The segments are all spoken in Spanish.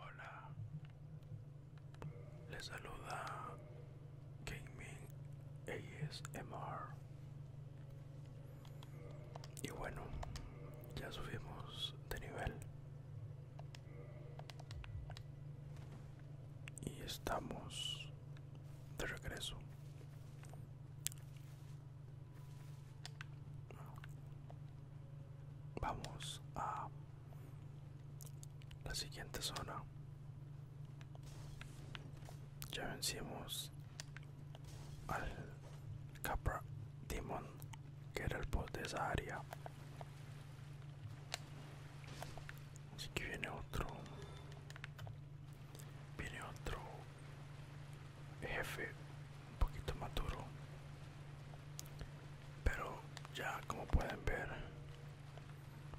Hola, les saluda Gaming ASMR. Y bueno, ya subimos de nivel. Y estamos de regreso Vamos a la siguiente zona. Ya vencimos al Capra Demon, que era el boss de esa área. Así que viene otro. Viene otro jefe un poquito maduro pero ya como pueden ver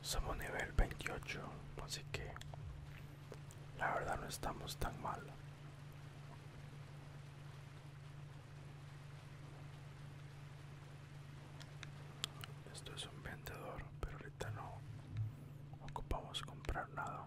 somos nivel 28 así que la verdad no estamos tan mal esto es un vendedor pero ahorita no ocupamos comprar nada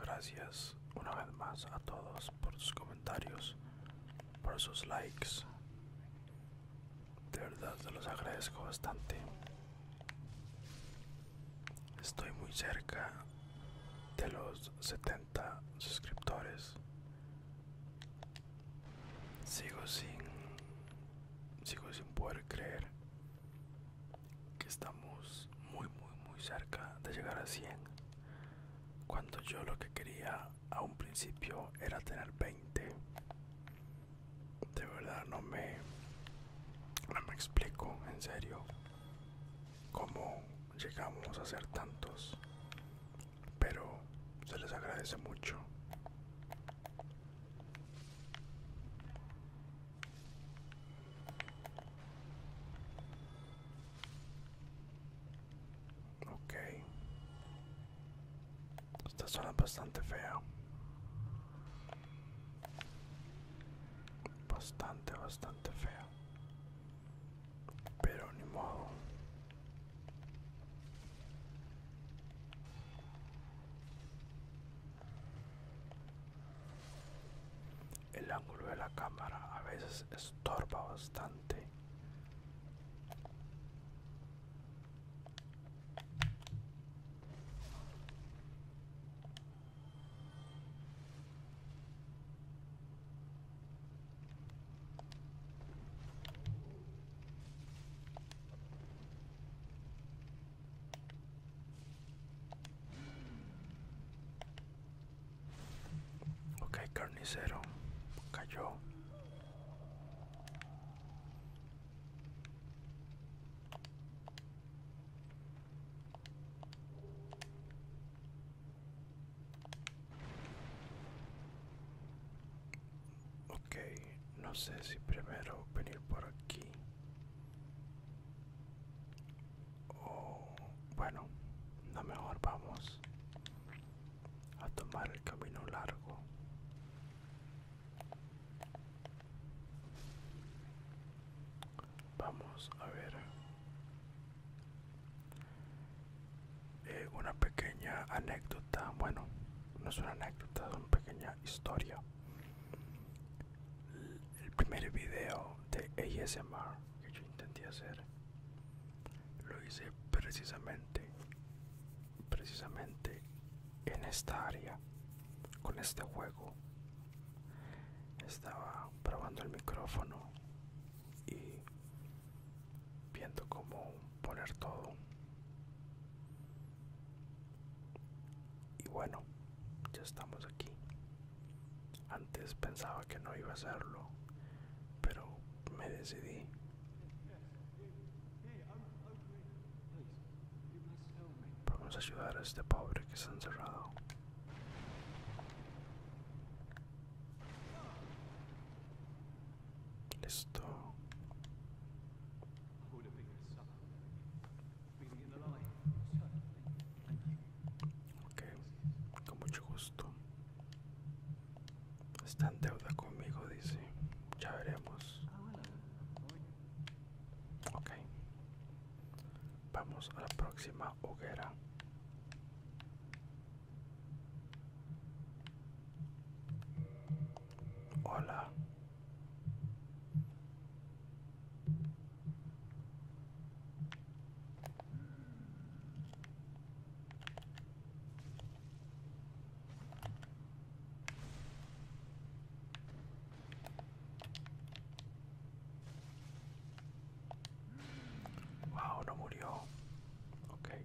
Gracias una vez más a todos por sus comentarios, por sus likes. De verdad se los agradezco bastante. Estoy muy cerca de los 70 suscriptores. Sigo sin sigo sin poder creer que estamos muy muy muy cerca de llegar a 100 cuando yo lo que quería a un principio era tener 20 de verdad no me no me explico en serio cómo llegamos a ser tantos pero se les agradece mucho. Ok. Esta zona bastante fea. Bastante, bastante fea. Pero ni modo. El ángulo de la cámara a veces estorba bastante. Ok, carnicero cayó. Ok, no sé si primero venir por aquí. O bueno, no mejor vamos a tomar el camino largo. Vamos a ver eh, una pequeña anécdota, bueno, no es una anécdota, es una pequeña historia. El primer video de ASMR que yo intenté hacer lo hice precisamente, precisamente en esta área, con este juego. Estaba probando el micrófono y viendo cómo poner todo y bueno ya estamos aquí antes pensaba que no iba a hacerlo pero me decidí vamos a ayudar a este pobre que se ha encerrado Listo. Ok, con mucho gusto. Está en deuda conmigo, dice. Ya veremos. Ok. Vamos a la próxima hoguera. Hola. Wow, no murió. Okay.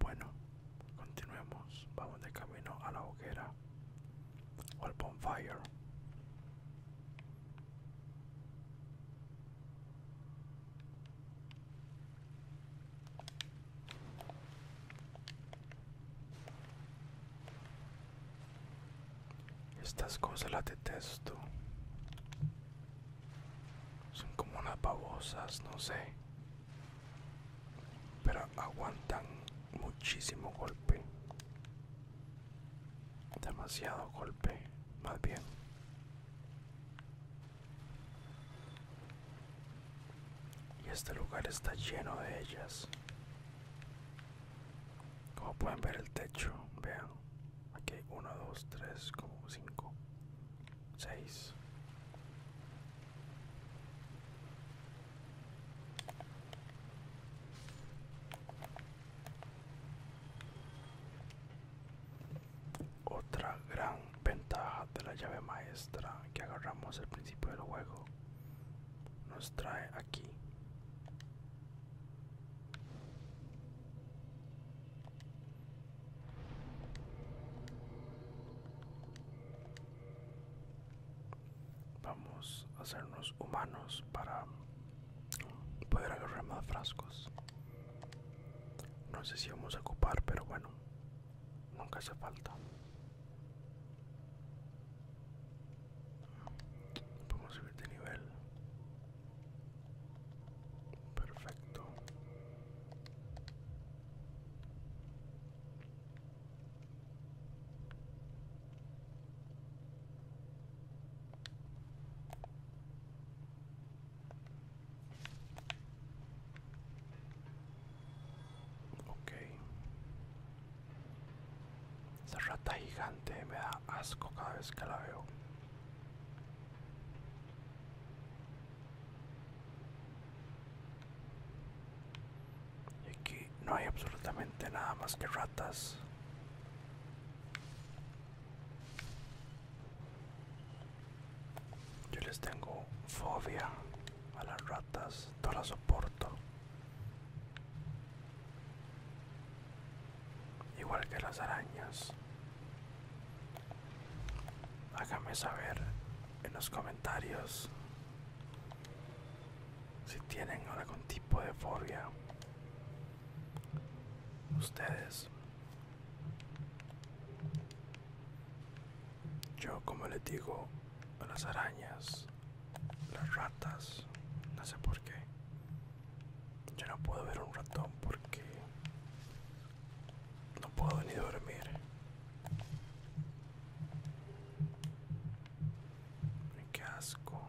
Bueno, continuemos. Vamos de camino a la hoguera o al bonfire. Estas cosas las detesto. Son como unas babosas, no sé. Pero aguantan muchísimo golpe. Demasiado golpe, más bien. Y este lugar está lleno de ellas. Como pueden ver el techo, vean. Aquí hay 1, 2, 3, como cinco 6. Otra gran ventaja de la llave maestra que agarramos al principio del juego nos trae aquí. Vamos a hacernos humanos para poder agarrar más frascos. No sé si vamos a ocupar, pero bueno, nunca hace falta. Vamos a subir de nivel. Perfecto. Ok. Esa rata gigante me da asco cada vez que la veo. Y aquí no hay absolutamente nada más que ratas. Yo les tengo fobia a las ratas, no las soporto. Igual que las arañas. Hágame saber en los comentarios si tienen algún tipo de fobia. Ustedes. Yo, como les digo, a las arañas, las ratas, no sé por qué. Yo no puedo ver un ratón porque no puedo ni dormir. Qué asco.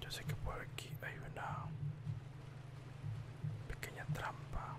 Yo sé que por aquí hay una pequeña trampa.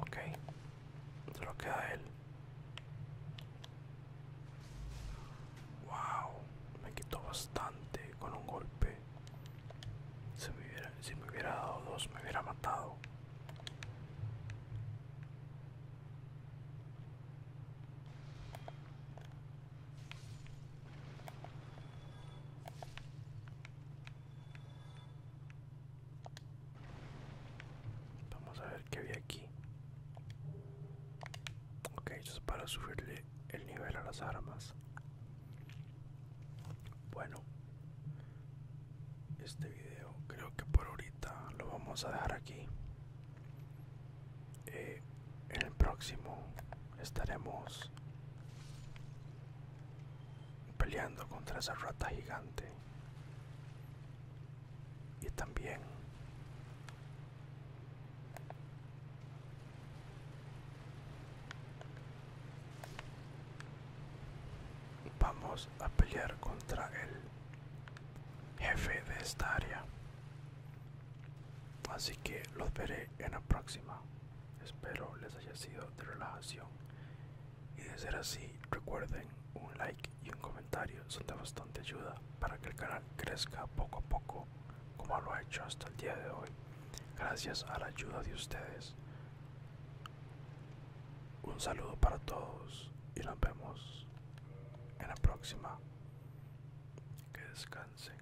Ok, se lo queda él. Wow, me quitó bastante con un golpe. Si me hubiera, si me hubiera dado dos, me hubiera matado. Vamos a ver qué había aquí. Ok, eso para subirle el nivel a las armas. Bueno, este video creo que por ahorita lo vamos a dejar aquí. Eh, en el próximo estaremos peleando contra esa rata gigante y también vamos a pelear contra el jefe de esta área así que los veré en la próxima espero les haya sido de relajación y de ser así, recuerden, un like y un comentario son de bastante ayuda para que el canal crezca poco a poco, como lo ha hecho hasta el día de hoy, gracias a la ayuda de ustedes. Un saludo para todos y nos vemos en la próxima. Que descansen.